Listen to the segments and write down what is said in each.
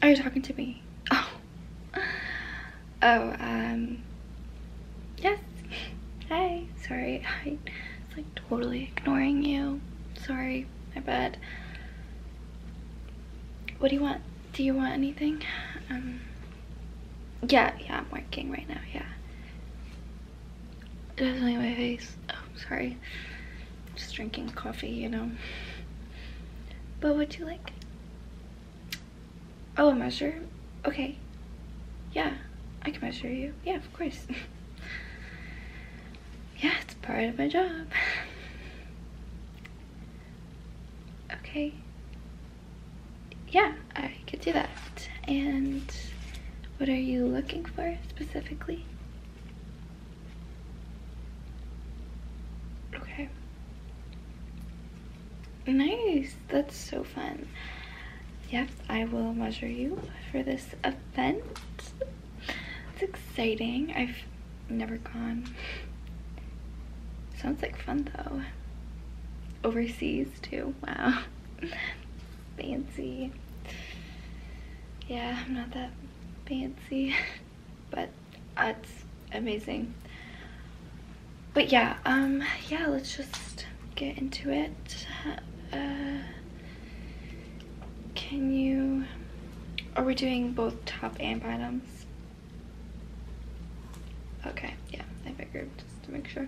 Are you talking to me? Oh. Oh, um. Yes. Hi. Sorry. I it's like totally ignoring you. Sorry. My bad. What do you want? Do you want anything? Um. Yeah, yeah, I'm working right now. Yeah. Definitely my face. Oh, sorry. Just drinking coffee, you know. But would you like? Oh, a measure? Okay. Yeah, I can measure you. Yeah, of course. yeah, it's part of my job. okay. Yeah, I could do that. And what are you looking for specifically? Okay. Nice. That's so fun. Yes, I will measure you for this event. It's exciting. I've never gone. Sounds like fun though. Overseas too. Wow. fancy. Yeah, I'm not that fancy, but that's amazing. But yeah, um, yeah, let's just get into it. Uh, can you, are we doing both top and bottoms? Okay, yeah, I figured just to make sure.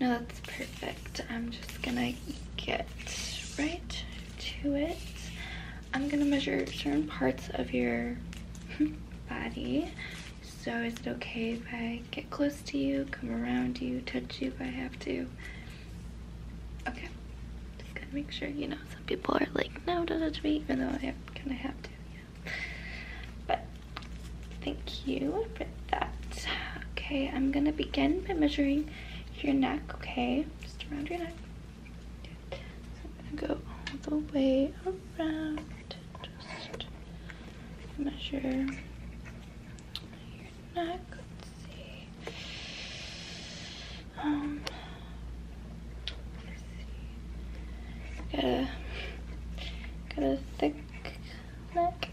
No, that's perfect. I'm just gonna get right to it. I'm gonna measure certain parts of your hmm, body. So is it okay if I get close to you, come around you, touch you if I have to? Okay, just gotta make sure, you know, some people are like, no, don't touch me, even though I am gonna have to, yeah. But Thank you for that. Okay, I'm gonna begin by measuring your neck, okay? Just around your neck. So I'm gonna go all the way around. Just measure your neck. Let's see. Um, Got a, got a thick neck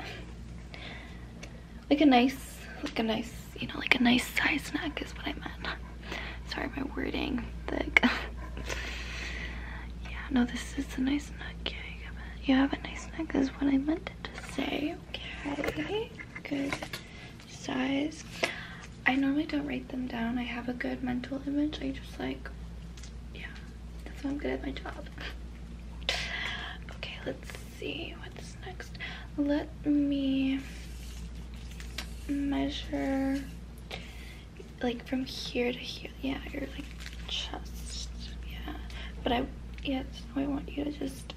like a nice, like a nice, you know, like a nice size neck is what I meant. Sorry, my wording, like, yeah, no, this is a nice neck, yeah, you have a, nice neck is what I meant to say, okay, good size. I normally don't write them down, I have a good mental image, I just like, yeah, that's why I'm good at my job. Okay, let's see what's next. Let me measure like from here to here. Yeah, your like chest. Yeah. But I yes, so I want you to just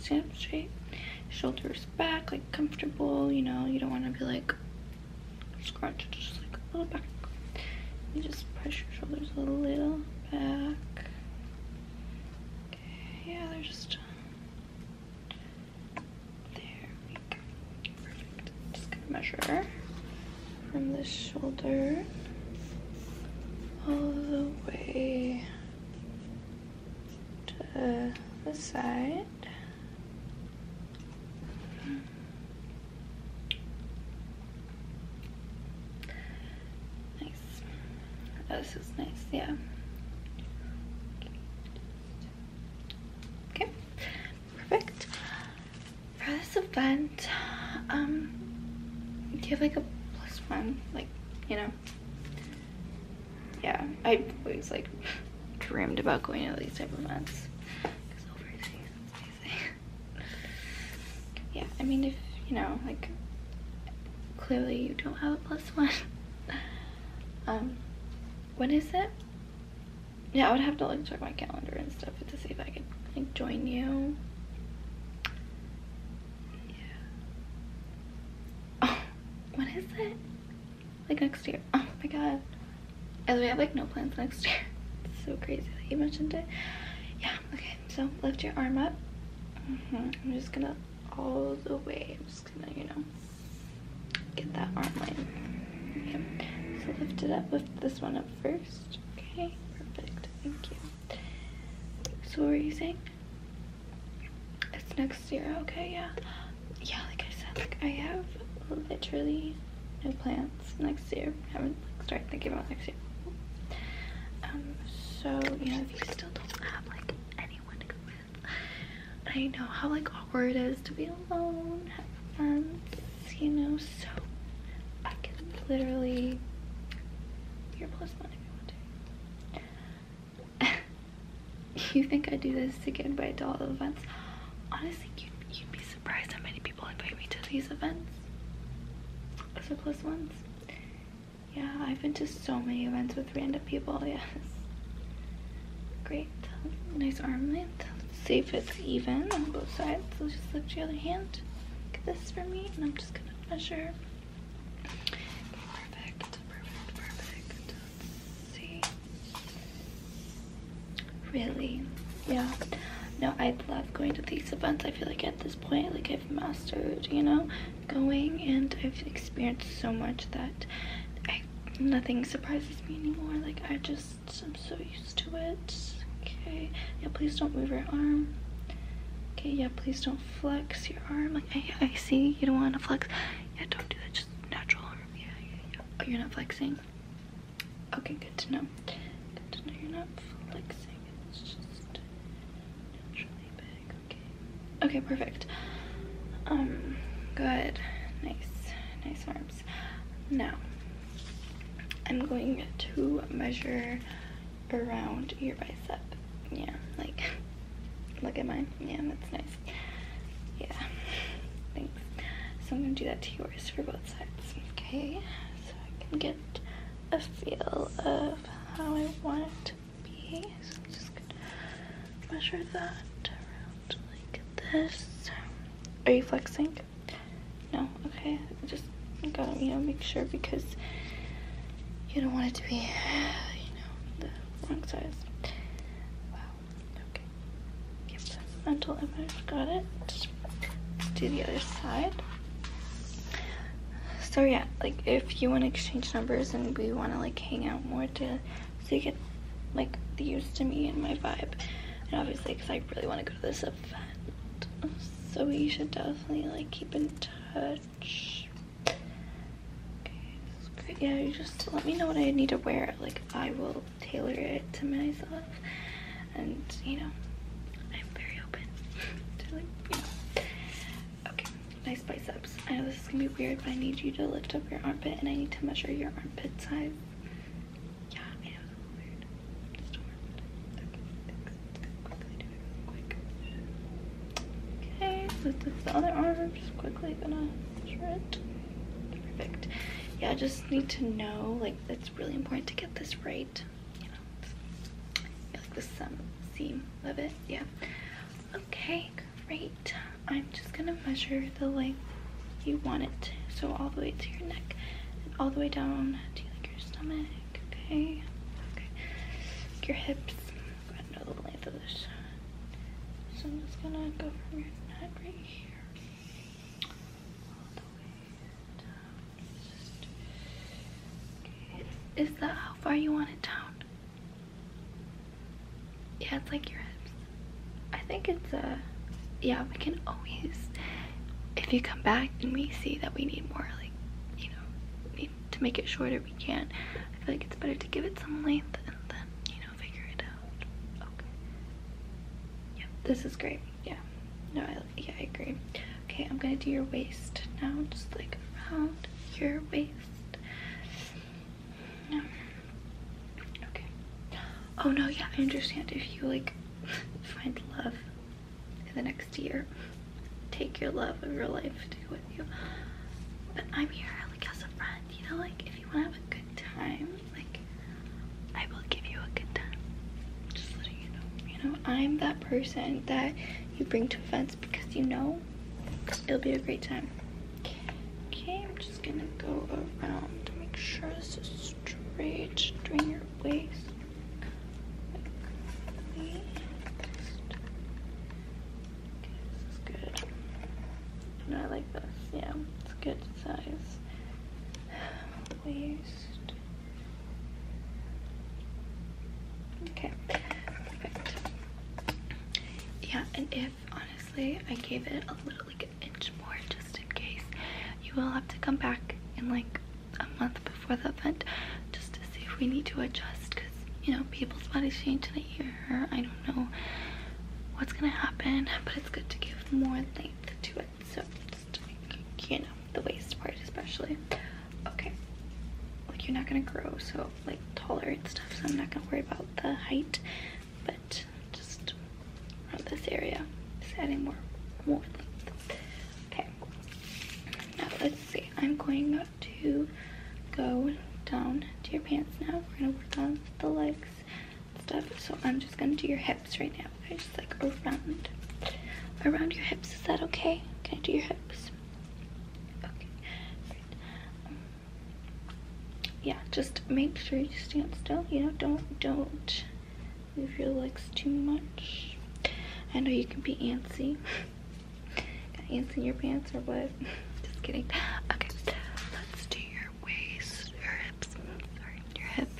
stand straight. Shoulders back, like comfortable, you know, you don't want to be like scrunch. just like a little back. You just press your shoulders a little back. yeah, they're just there. Just gonna measure from this shoulder all the way to the side. Nice. this is nice, yeah. Okay, perfect. For this event, um, do you have like a plus one? Like, you know? Yeah, I always like dreamed about going to these type of events yeah, I mean, if, you know, like, clearly you don't have a plus one. um, when is it? Yeah, I would have to, like, check my calendar and stuff to see if I could, like, join you. Yeah. Oh, when is it? Like, next year. Oh my god. As we have like no plans next year. so crazy that you mentioned it. Yeah, okay, so lift your arm up. Mm-hmm, I'm just gonna all the way. I'm just gonna, you know, get that arm line. So lift it up, lift this one up first. Okay, perfect, thank you. So what are you saying? It's next year, okay, yeah. Yeah, like I said, like I have literally no plans next year. I am not like started thinking about next year. Um, so you know you still don't have like anyone to go with, I know how like awkward it is to be alone, you know. So I can literally you think I do this to get invited to all the events? Honestly, you'd be surprised how many people invite me to these events. Circlist ones. Yeah, I've been to so many events with random people, yes. Great. Nice armlet. Let's see if it's even on both sides. So just lift your other hand. Get this for me, and I'm just gonna measure. perfect, perfect, perfect. see really yeah no i love going to these events i feel like at this point like i've mastered you know going and i've experienced so much that i nothing surprises me anymore like i just i'm so used to it okay yeah please don't move your arm okay yeah please don't flex your arm like i, I see you don't want to flex yeah don't do that just natural arm yeah yeah yeah oh, you're not flexing Okay, good to know. Good to know you're not Okay. perfect. Um, good. Nice. Nice arms. Now, I'm going to measure around your bicep. Yeah, like, look at mine. Yeah, that's nice. Yeah, thanks. So I'm gonna do that to yours for both sides, okay? So I can get a feel of how I want it to be. So I'm just gonna measure that around like this. Are you flexing? No? Okay. Just gotta, you know, make sure because you don't want it to be, you know, the wrong size. Wow. Okay. mental image. Got it. Do the other side. So yeah, like if you want to exchange numbers and we want to like hang out more to, so you get like used to me and my vibe, and obviously because I really want to go to this event. So we should definitely like keep in touch. Okay, Yeah, you just let me know what I need to wear. Like I will tailor it to myself. And you know, I'm very open Okay, nice biceps. I know this is gonna be weird, but I need you to lift up your armpit and I need to measure your armpit size. Yeah, I know it's a little weird. Okay, quickly so this the other arm. just quickly gonna Perfect. Yeah, I just need to know, like, it's really important to get this right. You know, like the seam love it. Yeah. Okay, great. I'm just gonna measure the length you want it. So all the way to your neck all the way down to your stomach. Okay. Okay. your hips. I know the length of this. So I'm just gonna go from your neck right here. Is that how far you want it down? Yeah, it's like your hips. I think it's a, uh, yeah, we can always, if you come back and we see that we need more, like, you know, need to make it shorter, we can. I feel like it's better to give it some length and then, you know, this is great. Yeah. No, I, yeah, I agree. Okay, I'm gonna do your waist now, just like around your waist. Okay. Oh no, yeah, I understand if you like find love in the next year. Take your love of your life to with you. But I'm here like as a friend, you know, like if you wanna have a good time, like, I will give you a good time. Just letting you know. You know, I'm that person that you bring to events because you know it'll be a great time. Okay, I'm just gonna go around to make sure this is straight during your waist. Okay, this good. No, I like this. Yeah, it's good size. Waist. Okay, perfect. Yeah, and if honestly I gave it a little like an inch more just in case, you will have to come back in like a month before the event just to see if we need to adjust because you know people's bodies change in a year I don't know what's gonna happen, but it's good to give more length to it. So you know, the waist part especially. Okay, like you're not gonna grow so like taller and stuff, so I'm not gonna worry about the height, but just around this area, is adding more, more length. Okay, now let's see. I'm going to go down to your pants now. We're gonna work on the legs stuff. So I'm just gonna do your hips right now, just Like around, around your hips. Is that okay? Can I do your hips? yeah, just make sure you stand still. You know, don't don't move your legs too much. I know you can be antsy. Got ants in your pants or what? just kidding. Okay, let's do your waist, your hips, sorry, your hips.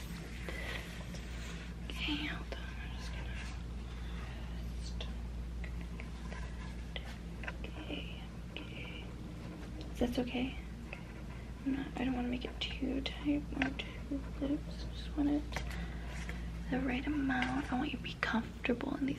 Okay, i Okay, okay. okay? i don't want to make it too tight or too loose. I just want it the right amount. I want you to be comfortable in these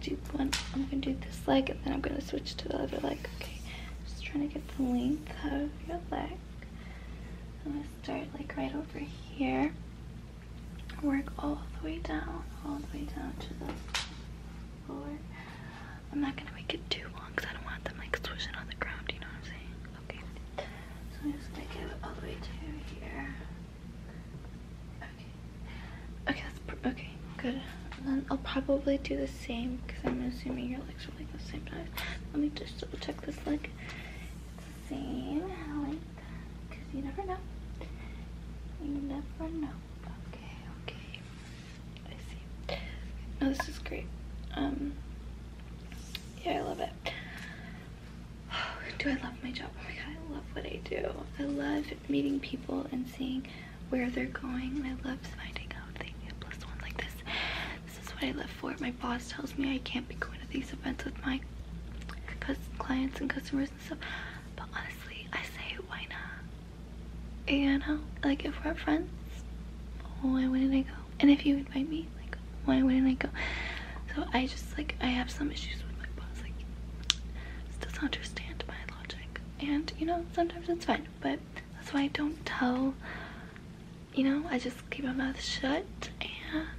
Do one. I'm gonna do this leg, and then I'm gonna switch to the other leg. Okay. Just trying to get the length of your leg. I'm gonna start like right over here. Work all the way down, all the way down to the floor. I'm not gonna make it too long because I don't want them like swishing on the ground. You know what I'm saying? Okay. So I'm just gonna give it all the way to here. Okay. Okay, okay, good. then I'll probably do the same because I'm assuming your legs are like the same size. Let me just double check this leg. the same length because you never know. You never know. Okay, okay. I see. No, this is great. Um, yeah, I love it. do I love my job? Oh my god, I love what I do. I love meeting people and seeing where they're going. I love finding out they need a plus one like this. This is what I live for. My boss tells me I can't be going to these events with my clients and customers and stuff. But honestly, I say, why not? You uh, know, like if we're friends, why wouldn't I go? And if you invite me, like, why wouldn't I go? So I just like I have some issues with my boss. Like doesn't understand my logic, and you know sometimes it's fine, but that's why I don't tell. You know I just keep my mouth shut and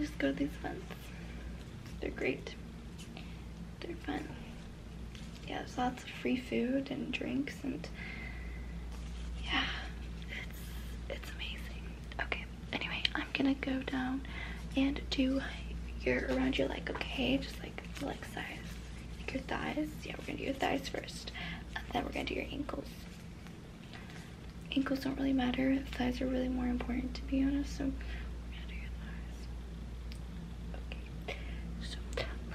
just go these events. They're great. They're fun. Yeah, there's lots of free food and drinks and yeah, it's it's amazing. Okay, anyway, I'm gonna go down and do your around your like okay? Just like leg size, like your thighs. Yeah, we're gonna do your thighs first, then we're gonna do your ankles. Ankles don't really matter. Thighs are really more important, to be honest. So let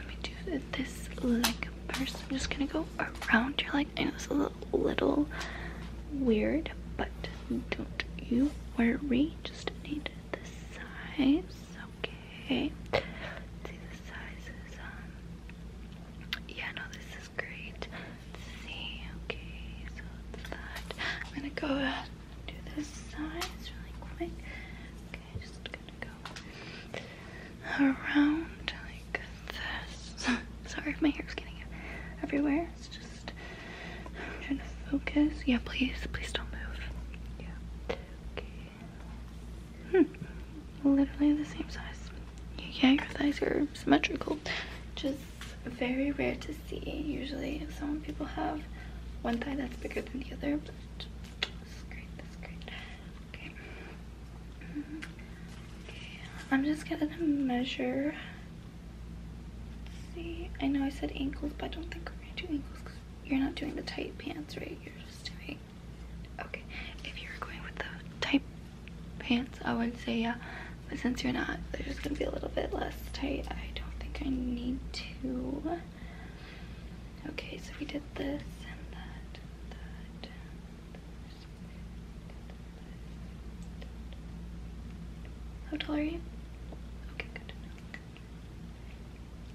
me do this leg first. I'm just gonna go around your leg. I know it's a little, weird, but don't you worry. Just need the size, okay? Um, yeah, no, this is great. see. Okay, so that. I'm gonna go do this size really quick. Okay, just gonna go around this. Sorry if my hair's getting everywhere. It's just trying to focus. Yeah, please, please don't move. Yeah. Okay. Hmm. Literally the same size. Yeah, your thighs are symmetrical. Just very rare to see. Usually some people have one thigh that's bigger than the other. But that's great, that's great. Okay. Mm-hmm. Okay, I'm just gonna measure. see, I know I said ankles, but I don't think we're gonna do ankles because you're not doing the tight pants, right? You're just doing, okay. If you were going with the tight pants, I would say yeah, but since you're not, they're just gonna be a little bit less tight. I don't think I need to. Okay, so we did this and that. How tall are you? Okay, good.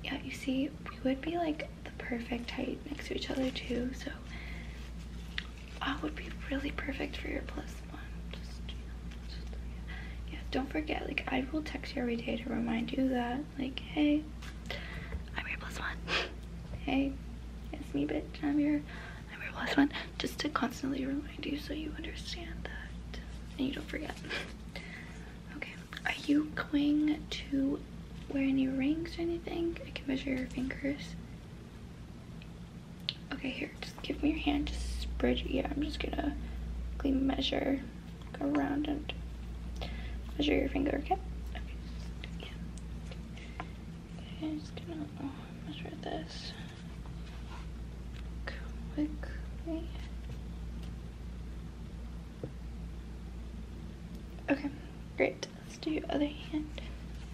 Yeah, you see, we would be like the perfect height next to each other too, so I would be really perfect for your plus one. Just, yeah. don't forget, like I will text you every day to remind you that, like, hey, I'm your plus one. hey, it's me, bitch, I'm here here and my last one just to constantly remind you so you understand that and you don't forget. okay, are you going to wear any rings or anything? I can measure your fingers. Okay, here, just give me your hand, just spread your, yeah, I'm just gonna quickly measure, go around and measure your finger, okay? Okay, I'm just gonna measure oh, this quickly. Okay, great. Let's do your other hand.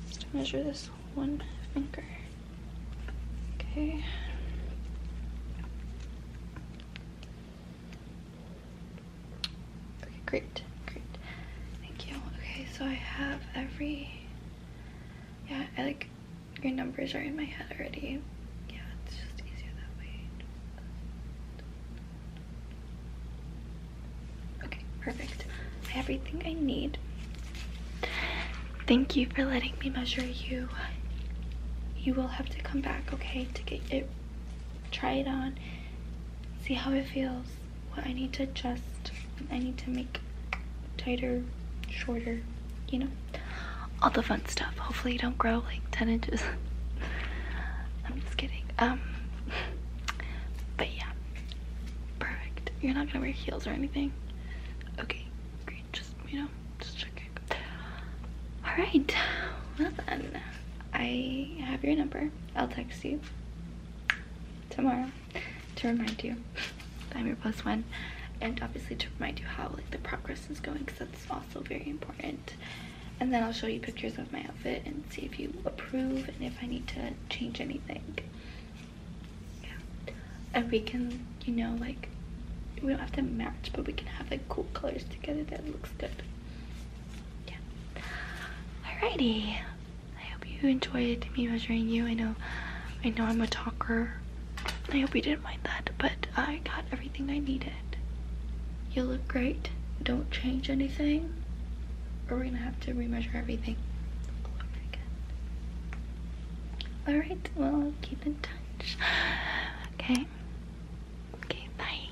Just measure this one finger. Okay. Okay, great, great. Thank you. Okay, so I have every, yeah, I like, your numbers are in my head already. Yeah, it's just easier that way. Okay, perfect. everything I need. Thank you for letting me measure you. You will have to come back, okay, to get it, try it on, see how it feels. I need to adjust. I need to make tighter, shorter, you know, all the fun stuff. Hopefully you don't grow like 10 inches. I'm just kidding. Um, but yeah, perfect. You're not gonna wear heels or anything. Okay, great. Just, you know, just checking. All right, well then, I have your number. I'll text you tomorrow to remind you I'm your plus one and obviously to remind you how like the progress is going because that's also very important and then I'll show you pictures of my outfit and see if you approve and if I need to change anything and we can you know like we don't have to match but we can have like cool colors together that looks good yeah. Alrighty. I hope you enjoyed me measuring you. I know, I know I'm a talker. I hope you didn't mind that, but I got everything I needed. You look great. Don't change anything, or we're gonna have to re-measure everything all over again. All right. Well, keep in touch. Okay. Okay. Bye.